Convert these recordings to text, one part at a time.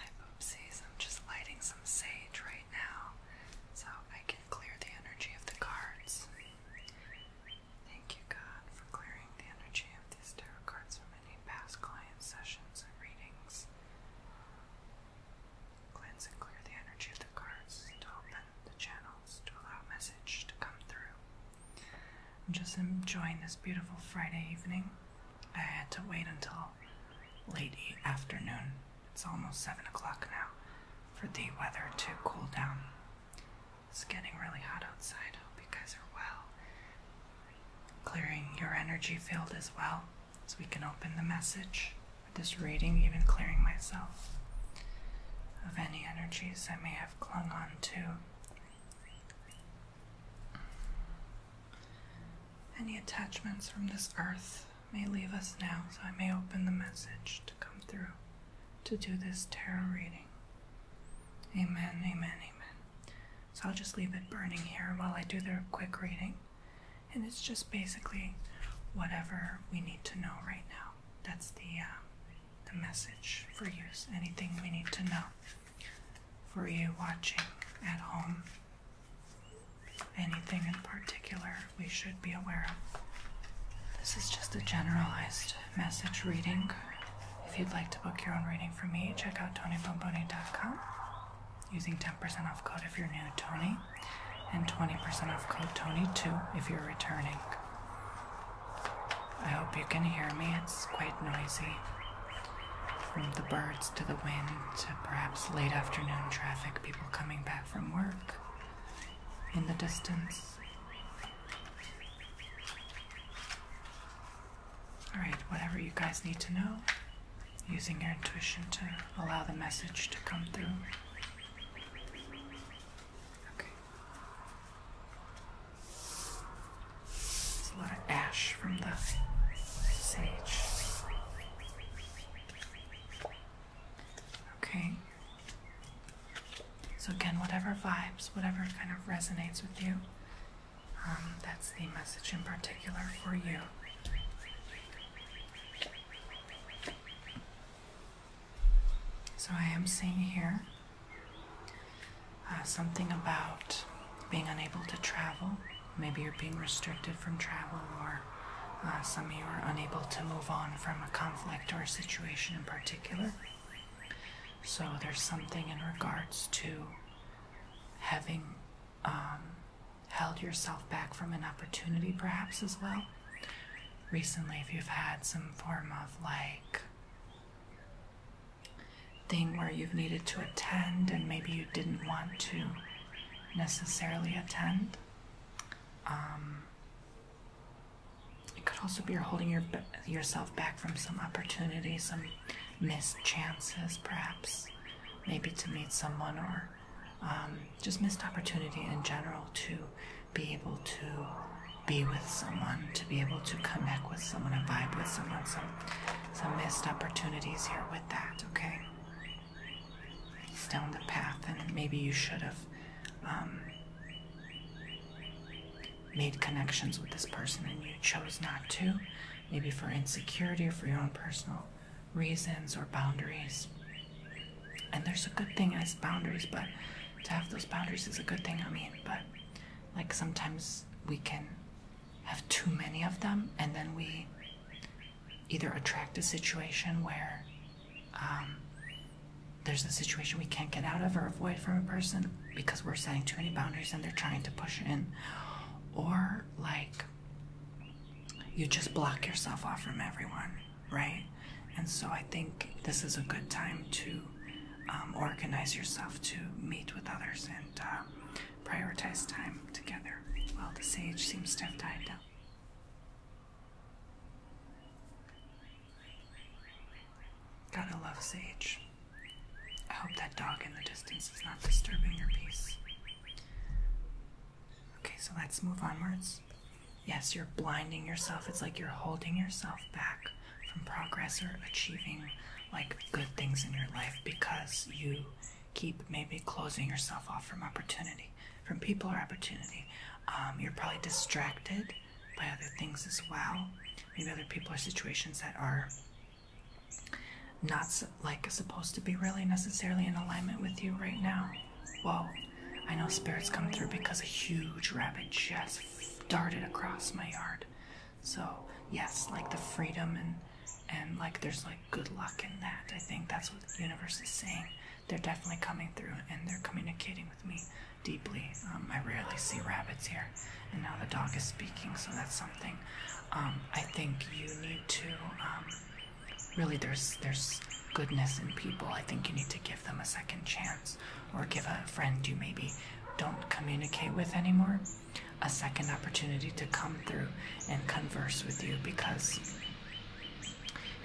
Hi Poopsies, I'm just lighting some sage right now so I can clear the energy of the cards. Thank you God for clearing the energy of these tarot cards from any past client sessions and readings. Cleanse and clear the energy of the cards to open the channels to allow message to come through. I'm just enjoying this beautiful Friday evening. I had to wait until late afternoon, it's almost 7 o'clock now, for the weather to cool down. It's getting really hot outside. Hope you guys are well. Clearing your energy field as well, so we can open the message with this reading, even clearing myself of any energies I may have clung on to. Any attachments from this earth may leave us now, so I may open the message to come through to do this tarot reading. Amen, amen, amen. So I'll just leave it burning here while I do the quick reading. And it's just basically whatever we need to know right now. That's the, uh, the message for you. anything we need to know for you watching at home. Anything in particular we should be aware of. This is just a generalized message reading. If you'd like to book your own reading from me, check out tonybomboni.com using 10% off code if you're new Tony and 20% off code Tony2 if you're returning. I hope you can hear me, it's quite noisy. From the birds to the wind to perhaps late afternoon traffic, people coming back from work in the distance. Alright, whatever you guys need to know, using your intuition to allow the message to come through. Okay. There's a lot of ash from the sage. Okay. So, again, whatever vibes, whatever kind of resonates with you, um, that's the message in particular for you. So, I am seeing here uh, something about being unable to travel. Maybe you're being restricted from travel, or uh, some of you are unable to move on from a conflict or situation in particular. So there's something in regards to having um, held yourself back from an opportunity, perhaps as well. Recently, if you've had some form of like thing where you've needed to attend and maybe you didn't want to necessarily attend. Um, it could also be you're holding yourself back from some opportunity, some missed chances, perhaps, maybe to meet someone or um, just missed opportunity in general to be able to be with someone, to be able to connect with someone and vibe with someone, some some missed opportunities here with that, okay? He's down the path, and maybe you should have um, made connections with this person and you chose not to, maybe for insecurity or for your own personal reasons or boundaries. And there's a good thing as boundaries, but to have those boundaries is a good thing, I mean, but like sometimes we can have too many of them, and then we either attract a situation where um, there's a situation we can't get out of or avoid from a person because we're setting too many boundaries and they're trying to push in, or like you just block yourself off from everyone, right? And so I think this is a good time to um, organize yourself to meet with others and uh, prioritize time together. Well, the sage seems to have died down. Gotta love sage. I hope that dog in the distance is not disturbing your peace. Okay, so let's move onwards. Yes, you're blinding yourself. It's like you're holding yourself back from progress or achieving like good things in your life because you keep maybe closing yourself off from opportunity, from people or opportunity. Um, you're probably distracted by other things as well. Maybe other people or situations that are not like supposed to be really necessarily in alignment with you right now. Whoa, I know spirits come through because a huge rabbit just darted across my yard. So yes, like the freedom and and like there's like good luck in that. I think that's what the universe is saying. They're definitely coming through and they're communicating with me deeply. Um, I rarely see rabbits here, and now the dog is speaking, so that's something. Um, I think you need to um, really there's there's goodness in people. I think you need to give them a second chance or give a friend you maybe don't communicate with anymore a second opportunity to come through and converse with you because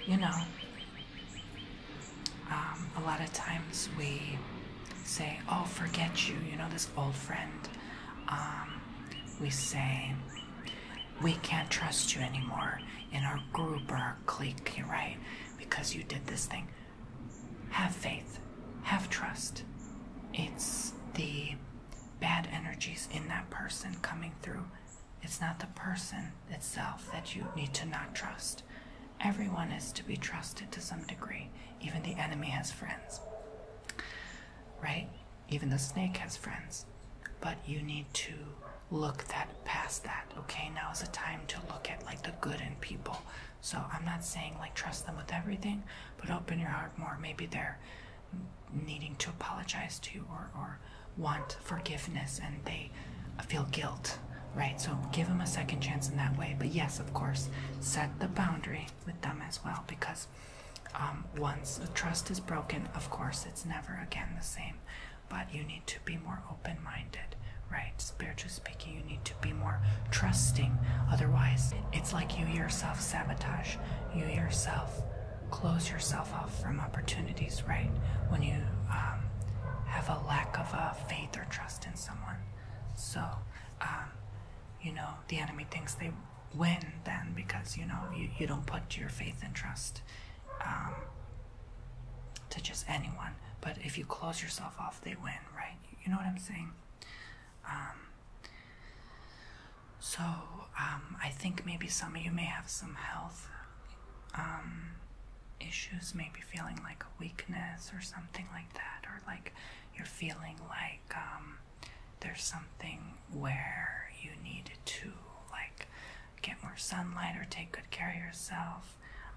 you know um, a lot of times we say oh forget you you know this old friend um, we say we can't trust you anymore in our group or our clique right because you did this thing have faith, have trust. It's the bad energies in that person coming through. It's not the person itself that you need to not trust. Everyone is to be trusted to some degree. Even the enemy has friends, right? Even the snake has friends. But you need to look that past that. Okay, now is the time to look at like the good in people, so I'm not saying like trust them with everything, but open your heart more. Maybe they're needing to apologize to you or, or want forgiveness and they feel guilt, right? So give them a second chance in that way. But yes, of course, set the boundary with them as well because um, once the trust is broken, of course, it's never again the same. But you need to be more open minded, right? Spiritually you need to be more trusting. Otherwise, it's like you yourself sabotage. You yourself close yourself off from opportunities, right? When you um, have a lack of uh, faith or trust in someone. So, um, you know, the enemy thinks they win then because, you know, you, you don't put your faith and trust um, to just anyone. But if you close yourself off, they win, right? You know what I'm saying? Um, so um, I think maybe some of you may have some health um, issues, maybe feeling like a weakness or something like that, or like you're feeling like there's something where you need to like get more sunlight or take good care of yourself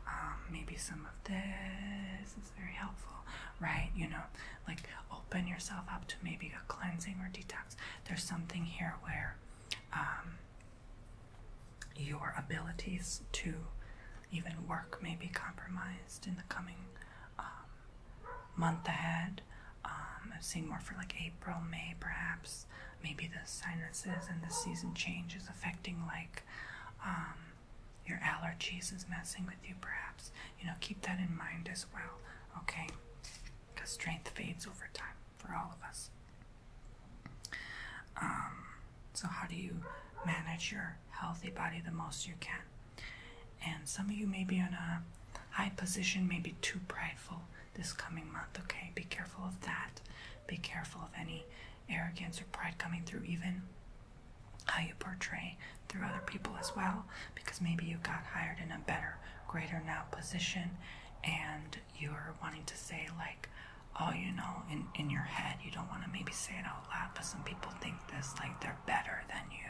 um, maybe some of this is very helpful, right? You know, like open yourself up to maybe a cleansing or detox. There's something here where um, your abilities to even work may be compromised in the coming um, month ahead. I'm seeing more for like April, May, perhaps. Maybe the sinuses and the season change is affecting like your allergies is messing with you, perhaps. You know, keep that in mind as well, okay? Because strength fades over time for all of us. Um, so, how do you manage your healthy body the most you can? And some of you may be on a high position, maybe too prideful this coming month, okay? Be careful of that. Be careful of any arrogance or pride coming through even how you portray through other people as well because maybe you got hired in a better greater now position and you're wanting to say like oh you know in in your head you don't want to maybe say it out loud but some people think this like they're better than you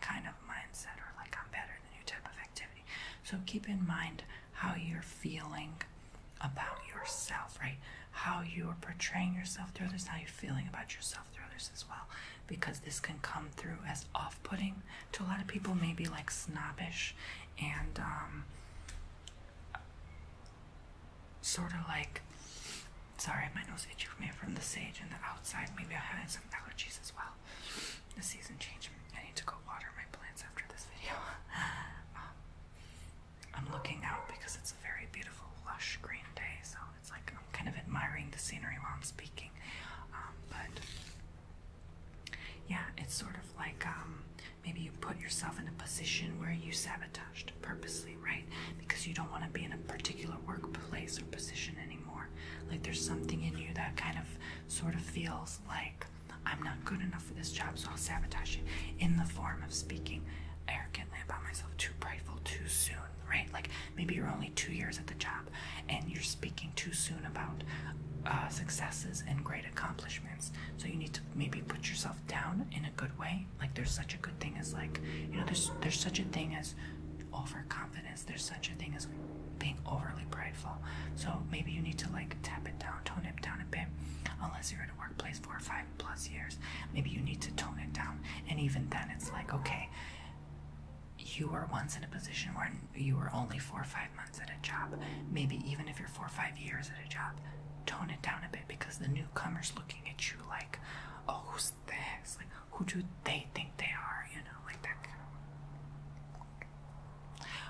kind of mindset or like i'm better than you type of activity so keep in mind how you're feeling about yourself, right? How you are portraying yourself through others, how you're feeling about yourself through others as well. Because this can come through as off putting to a lot of people, maybe like snobbish and um, sort of like. Sorry, my nose itchy from the sage and the outside. Maybe i have some allergies as well. The season change. I need to go water my plants after this video. Um, I'm looking out because it's a very beautiful, lush green day, so it's like I'm kind of admiring the scenery while I'm speaking. Um, but yeah, it's sort of like um, maybe you put yourself in a position where you sabotaged purposely, right? Because you don't want to be in a particular workplace or position anymore. Like there's something in you that kind of sort of feels like I'm not good enough for this job, so I'll sabotage you in the form of speaking arrogantly about myself, too prideful, too soon, right? Like maybe you're only two years at the job and you're speaking too soon about uh, successes and great accomplishments. So you need to maybe put yourself down in a good way. Like there's such a good thing as like, you know, there's there's such a thing as overconfidence. There's such a thing as being overly prideful. So maybe you need to like tap it down, tone it down a bit. Unless you're at a workplace four or five plus years, maybe you need to tone it down. And even then, it's like, okay, you were once in a position where you were only four or five months at a job. Maybe even if you're four or five years at a job, tone it down a bit because the newcomer's looking at you like, oh, who's this? Like, who do they think they are? You know, like that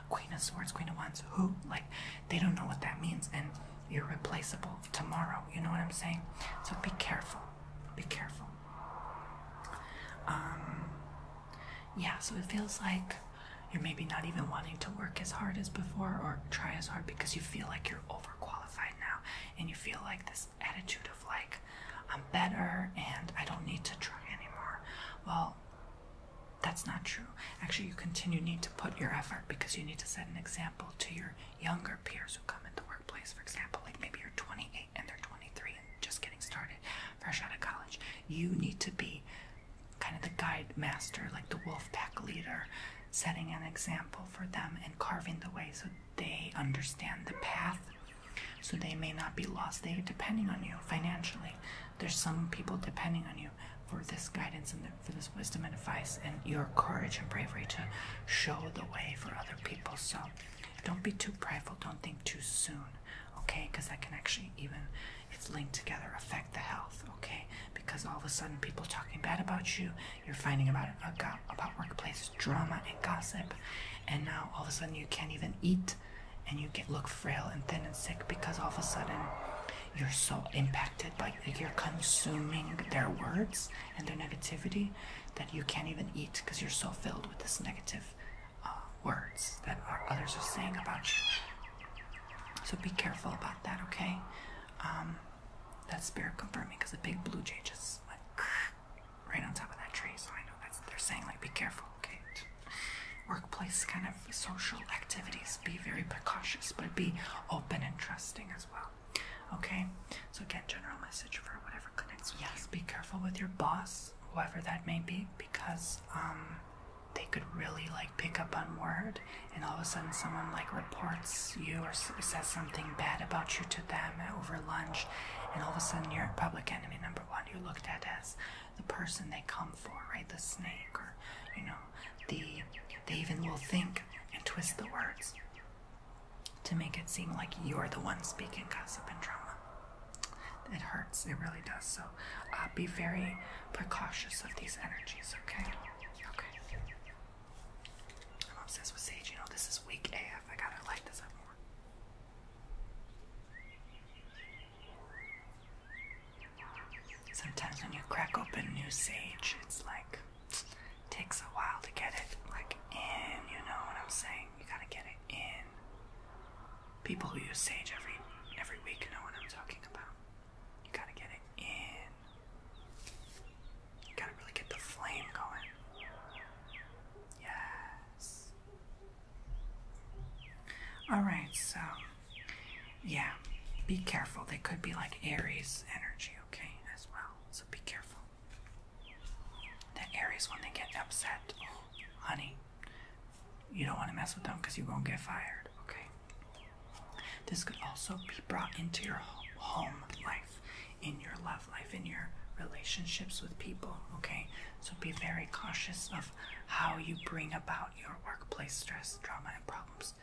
Queen of Swords, Queen of Wands, who? Like, they don't know what that means. And you're replaceable tomorrow. You know what I'm saying? So be careful. Be careful. Um, yeah, so it feels like you're maybe not even wanting to work as hard as before or try as hard because you feel like you're overqualified now and you feel like this attitude of like, I'm better and I don't need to try anymore. Well, that's not true. Actually, you continue need to put your effort because you need to set an example to your younger peers who come in the workplace. For example, like maybe you're 28 and they're 23 and just getting started, fresh out of college. You need to be kind of the guide master, like the wolf pack leader, setting an example for them and carving the way so they understand the path. So they may not be lost. They depending on you financially. There's some people depending on you for this guidance and for this wisdom and advice and your courage and bravery to show the way for other people. So don't be too prideful. Don't think too soon, okay? Because that can actually even, it's linked together, affect the health, okay? Because all of a sudden people talking bad about you, you're finding about uh, about workplace drama and gossip, and now all of a sudden you can't even eat, and you get look frail and thin and sick because all of a sudden you're so impacted by you're consuming their words and their negativity that you can't even eat because you're so filled with this negative uh, words that others are saying about you. So be careful about that, okay? Um, that spirit confirming because the big blue jay just went right on top of that tree. So I know that's what they're saying like be careful, okay? workplace kind of social activities. Be very precautious, but be open and trusting as well. Okay? So, again, general message for whatever connects with Yes, be careful with your boss, whoever that may be, because um, they could really like pick up on word, and all of a sudden, someone like reports you or says something bad about you to them over lunch, and all of a sudden, you're public enemy number one. you looked at as the person they come for, right? The snake, or you know, the they even will think and twist the words to make it seem like you're the one speaking gossip and drama. It hurts, it really does. So uh, be very precautious of these energies, okay? Okay. I'm obsessed with sage. You know, this is weak AF. I gotta light this up more. Sometimes when you crack open new sage, it's like takes a while to get it like in, you know what I'm saying? You gotta get it in. People who use sage every every week know what I'm talking about. You gotta get it in. You gotta really get the flame going. Yes. Alright, so yeah, be careful. They could be like Aries energy, okay, as well. So be careful. The Aries, when they get upset, oh, honey, you don't want to mess with them because you won't get fired, okay? This could also be brought into your home life, in your love life, in your relationships with people, okay? So be very cautious of how you bring about your workplace stress stress, drama, and problems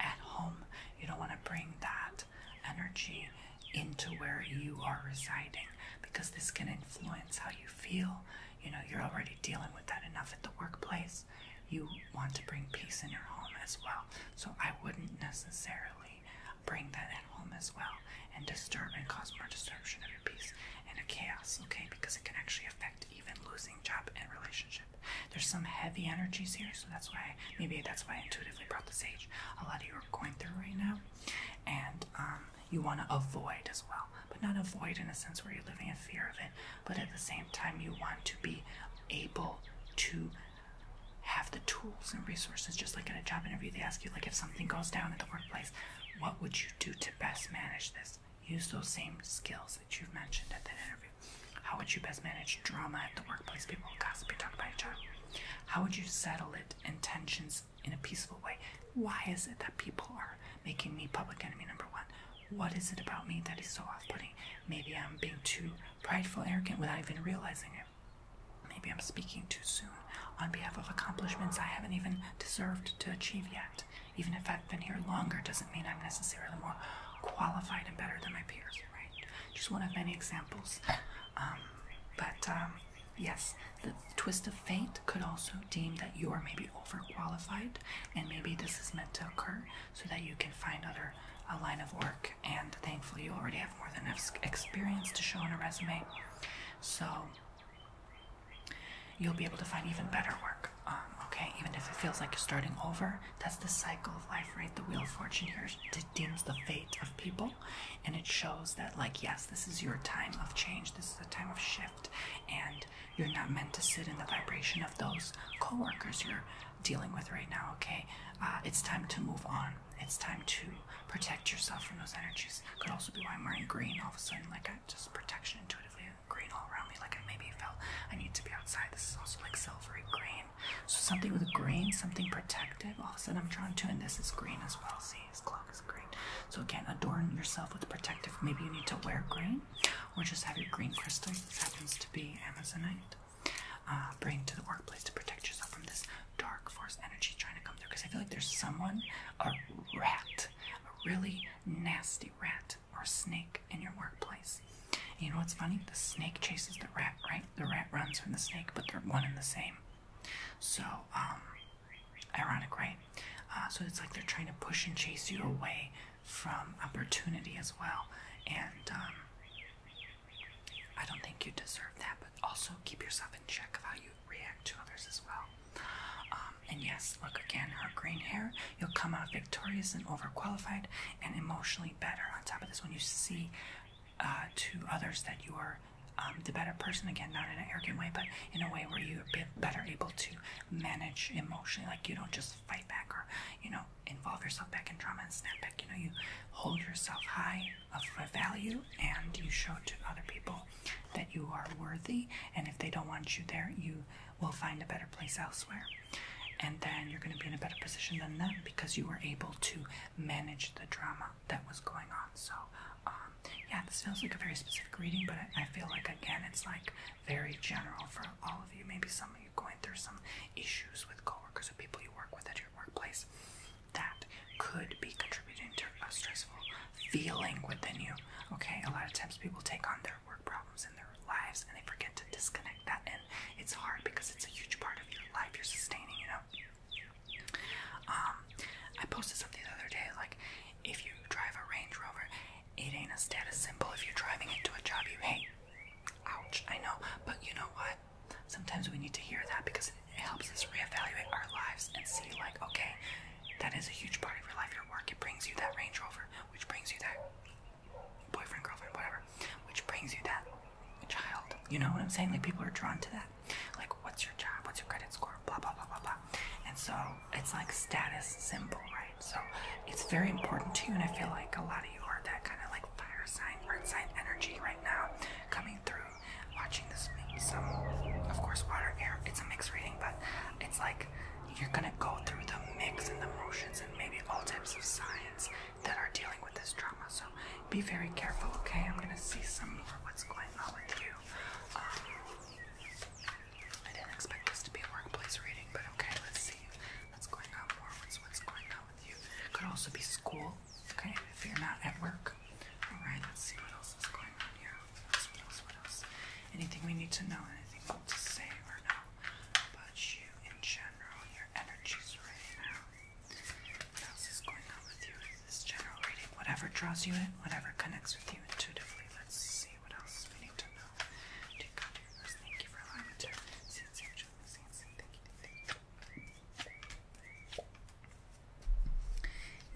at home. You don't want to bring that energy into where you are residing because this can influence how you feel. You know, you're already dealing with that enough at the workplace. You want to bring peace in your home as well. So I wouldn't necessarily bring that at home as well and disturb and cause more disruption of your peace and a chaos, okay? Because it can actually affect even losing job and relationship there's some heavy energies here so that's why maybe that's why i intuitively brought this age a lot of you are going through right now and um, you want to avoid as well but not avoid in a sense where you're living in fear of it but at the same time you want to be able to have the tools and resources just like in a job interview they ask you like if something goes down in the workplace what would you do to best manage this use those same skills that you've mentioned at that interview. How would you best manage drama at the workplace? People gossip and talk about each other. How would you settle it and tensions in a peaceful way? Why is it that people are making me public enemy number one? What is it about me that is so off putting? Maybe I'm being too prideful, arrogant without even realizing it. Maybe I'm speaking too soon on behalf of accomplishments I haven't even deserved to achieve yet even if I've been here longer doesn't mean I'm necessarily more qualified and better than my peers, right? Just one of many examples. Um, but um, yes, the twist of fate could also deem that you are maybe overqualified, and maybe this is meant to occur so that you can find other a line of work. And thankfully, you already have more than enough experience to show on a resume. So you'll be able to find even better work. Um, okay, even if it feels like you're starting over, that's the cycle of life, right? The wheel of fortune here dims the fate of people, and it shows that, like, yes, this is your time of change. This is a time of shift, and you're not meant to sit in the vibration of those coworkers you're dealing with right now. Okay, uh, it's time to move on. It's time to protect yourself from those energies. Could also be why I'm wearing green all of a sudden, like, just protection intuitively green all around me, like I maybe felt I need to be outside. This is also like silvery green. So something with green, something protective. All of a sudden I'm drawn to, and this is green as well. See, this clock is green. So again, adorn yourself with protective. Maybe you need to wear green, or just have your green crystal. This happens to be amazonite. Uh, bring to the workplace to protect yourself from this dark force energy trying to come through. Because I feel like there's someone, a rat, a really nasty rat or snake in your workplace. You know what's funny? The snake chases the rat, right? The rat runs from the snake, but they're one and the same. So, um, ironic, right? Uh, so it's like they're trying to push and chase you away from opportunity as well. And um, I don't think you deserve that, but also keep yourself in check of how you react to others as well. Um, and yes, look again, her green hair, you'll come out victorious and overqualified and emotionally better. On top of this, when you see uh, to others that you are um, the better person, again, not in an arrogant way, but in a way where you're better able to manage emotionally. Like you don't just fight back or, you know, involve yourself back in drama and snap back. You know, you hold yourself high of value and you show to other people that you are worthy, and if they don't want you there, you will find a better place elsewhere. And then you're going to be in a better position than them because you were able to manage the drama that was going on. So, um, yeah, this feels like a very specific reading, but I feel like, again, it's like very general for all of you. Maybe some of you going through some issues with coworkers or people you work with at your workplace that could be contributing to a stressful feeling within you Okay, a lot of times people take on their work problems in their lives and they forget to disconnect that, and it's hard because it's a huge part of your life you're sustaining, you know. Um, I posted something the other day like, if you drive a Range Rover, it ain't a status symbol if you're driving into a job you hate. Ouch, I know, but you know what? Sometimes we need to hear that because it helps us reevaluate our lives and see, like, okay, that is a huge part of your life, your work. It brings you that Range Rover, which brings you that boyfriend, girlfriend, whatever, which brings you that child. You know what I'm saying? Like, people are drawn to that. Like, what's your job? What's your credit score? Blah, blah, blah, blah, blah. And so it's like status symbol, right? So it's very important to you, and I feel like a lot of you are that kind of like fire sign, earth sign energy right now coming through watching this. Some, of course, water, air. It's a mixed reading, but it's like you're gonna go through the mix and the motions and maybe all types of signs that are dealing with this trauma. So be very careful, okay? I'm gonna see some of what's going on with you. Um, I didn't expect this to be a workplace reading, but okay, let's see what's going on more. What's what's going on with you? Could also be school, okay? If you're not at work. Alright, let's see what else is going on here what else, what else? Anything we need to know, anything we need to say or know about you in general, your energies right now. What else is going on with you with this general reading? Whatever draws you in, whatever connects with you intuitively. Let's see what else we need to know. thank you for allowing me to see and see, see, see, thank you, thank you.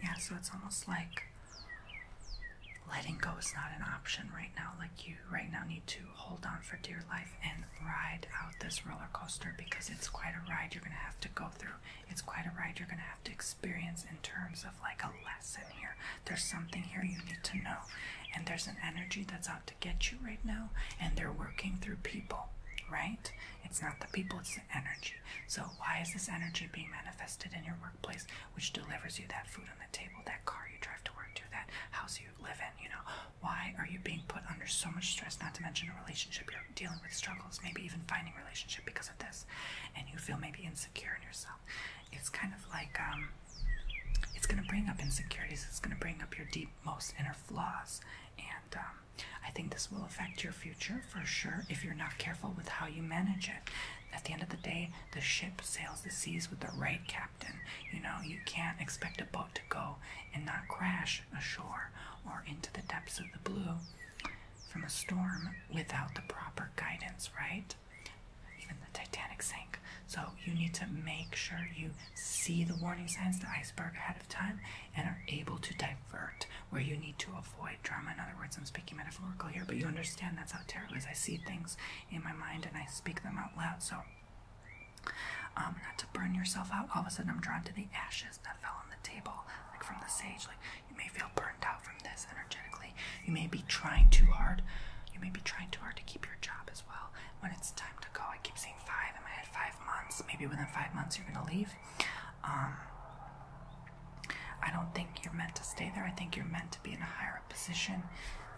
Yeah, so it's almost like letting go is not an option right now. Like, you right now need to hold on for dear life and ride out this roller coaster because it's quite a ride you're going to have to go through. It's quite a ride you're going to have to experience in terms of like a lesson here. There's something here you need to know, and there's an energy that's out to get you right now, and they're working through people, right? It's not the people, it's the energy. So, why is this energy being manifested in your workplace, which delivers you that food on the table, that car you drive to work to, that house you live in? You know, why are you being put under so much stress, not to mention a relationship you're dealing with struggles, maybe even finding relationship because of this, and you feel maybe insecure in yourself? It's kind of like, um, it's going to bring up insecurities, it's going to bring up your deep, most inner flaws, and um, I think this will affect your future for sure, if you're not careful with how you manage it. At the end of the day, the ship sails the seas with the right captain. You know, you can't expect a boat to go and not crash ashore or into the depths of the blue from a storm without the proper guidance, right? Even the Titanic sank. So you need to make sure you see the warning signs, the iceberg ahead of time, and are able to divert where you need to avoid drama. In other words, I'm speaking metaphorical here, but you understand that's how tarot is. I see things in my mind and I speak them out loud. So, um, not to burn yourself out. All of a sudden, I'm drawn to the ashes that fell on the table, like from the sage. Like you may feel burned out from this energetically. You may be trying too hard. You may be trying too hard to keep your job as well. When it's time to go, I keep saying five I my head. Five months. Maybe within five months, you're gonna leave. Um, I don't think you're meant to stay there. I think you're meant to be in a higher position.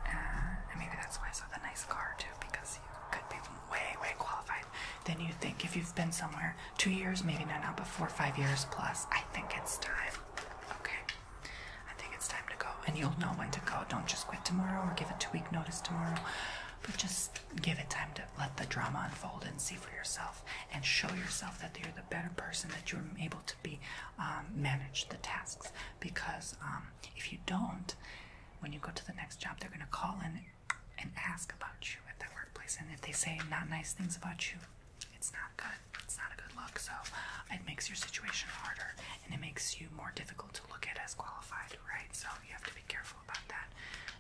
Uh, and maybe that's why I saw the nice car too, because you could be way, way qualified than you think. If you've been somewhere two years, maybe not now, but four or five years plus, I think it's time. Okay. I think it's time to go. And you'll know when to go. Don't just quit tomorrow or give a two week notice tomorrow. But just give it time to let the drama unfold and see for yourself and show yourself that you're the better person that you're able to be um, manage the tasks because um, if you don't when you go to the next job they're going to call in and ask about you at that workplace and if they say not nice things about you it's not good it's not a good look so it makes your situation harder and it makes you more difficult to look at as qualified right so you have to be careful about that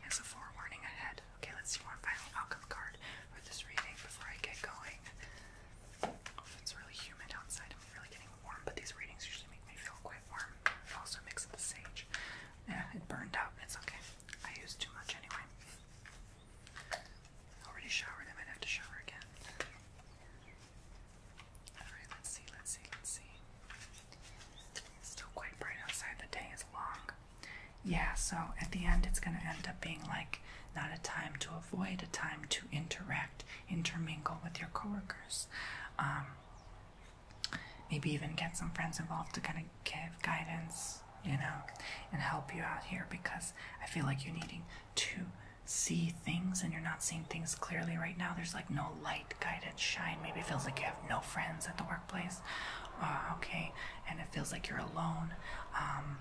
as a forewarning ahead Okay, let's see one final outcome card for this reading before I get going. Oh, it's really humid outside. I'm really getting warm, but these readings usually make me feel quite warm. It also mixed with the sage. Yeah, it burned out. It's okay. I used too much anyway. Already showered. I might have to shower again. Alright, let's see, let's see, let's see. It's still quite bright outside. The day is long. Yeah, so at the end, it's going to end up being like not a time to avoid, a time to interact, intermingle with your coworkers. Um, maybe even get some friends involved to kind of give guidance, you know, and help you out here because I feel like you're needing to see things and you're not seeing things clearly right now. There's like no light guidance shine. Maybe feels like you have no friends at the workplace Place, okay, and it feels like you're alone. Um,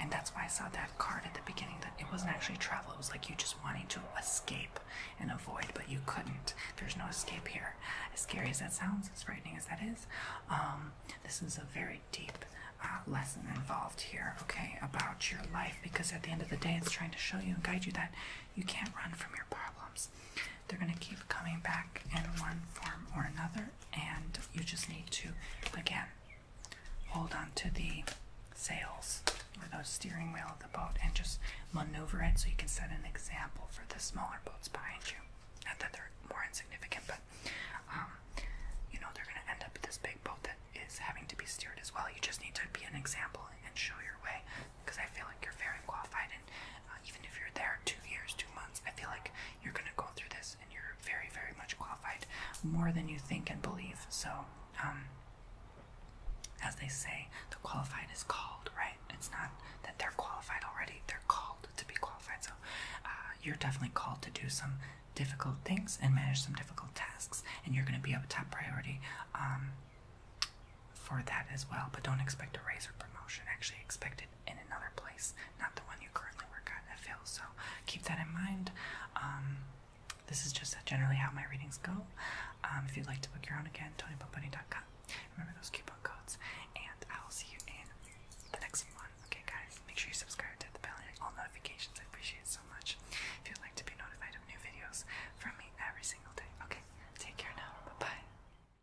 and that's why I saw that card at the beginning that it wasn't actually travel, it was like you just wanting to escape and avoid, but you couldn't. There's no escape here. As scary as that sounds, as frightening as that is, um, this is a very deep uh, lesson involved here, okay, about your life because at the end of the day, it's trying to show you and guide you that you can't run from your problems. They're going to keep coming back in one form or another and you just need to again hold on to the sails or the steering wheel of the boat and just maneuver it so you can set an example for the smaller boats behind you. Not that they're more insignificant, but um, you know, they're going to end up with this big boat that is having to be steered as well. You just need to be an example and show your way because I feel like you're very qualified uh, even if you're there two years, two months, I feel like you're gonna go through this and you're very, very much qualified, more than you think and believe. So, um, as they say, the qualified is called, right? It's not that they're qualified already; they're called to be qualified. So, uh, you're definitely called to do some difficult things and manage some difficult tasks, and you're gonna be a top priority. Um, for that as well, but don't expect a raise or promotion. Actually, expect it in another place, not the one you currently work at. I feel so. Keep that in mind. Um, this is just uh, generally how my readings go. Um, if you'd like to book your own again, TonyPopBunny.com. Remember those coupon codes, and I will see you in the next one. Okay, guys, make sure you subscribe hit the bell and all notifications. I appreciate it so much. If you'd like to be notified of new videos from me every single day. Okay, take care now. Bye bye.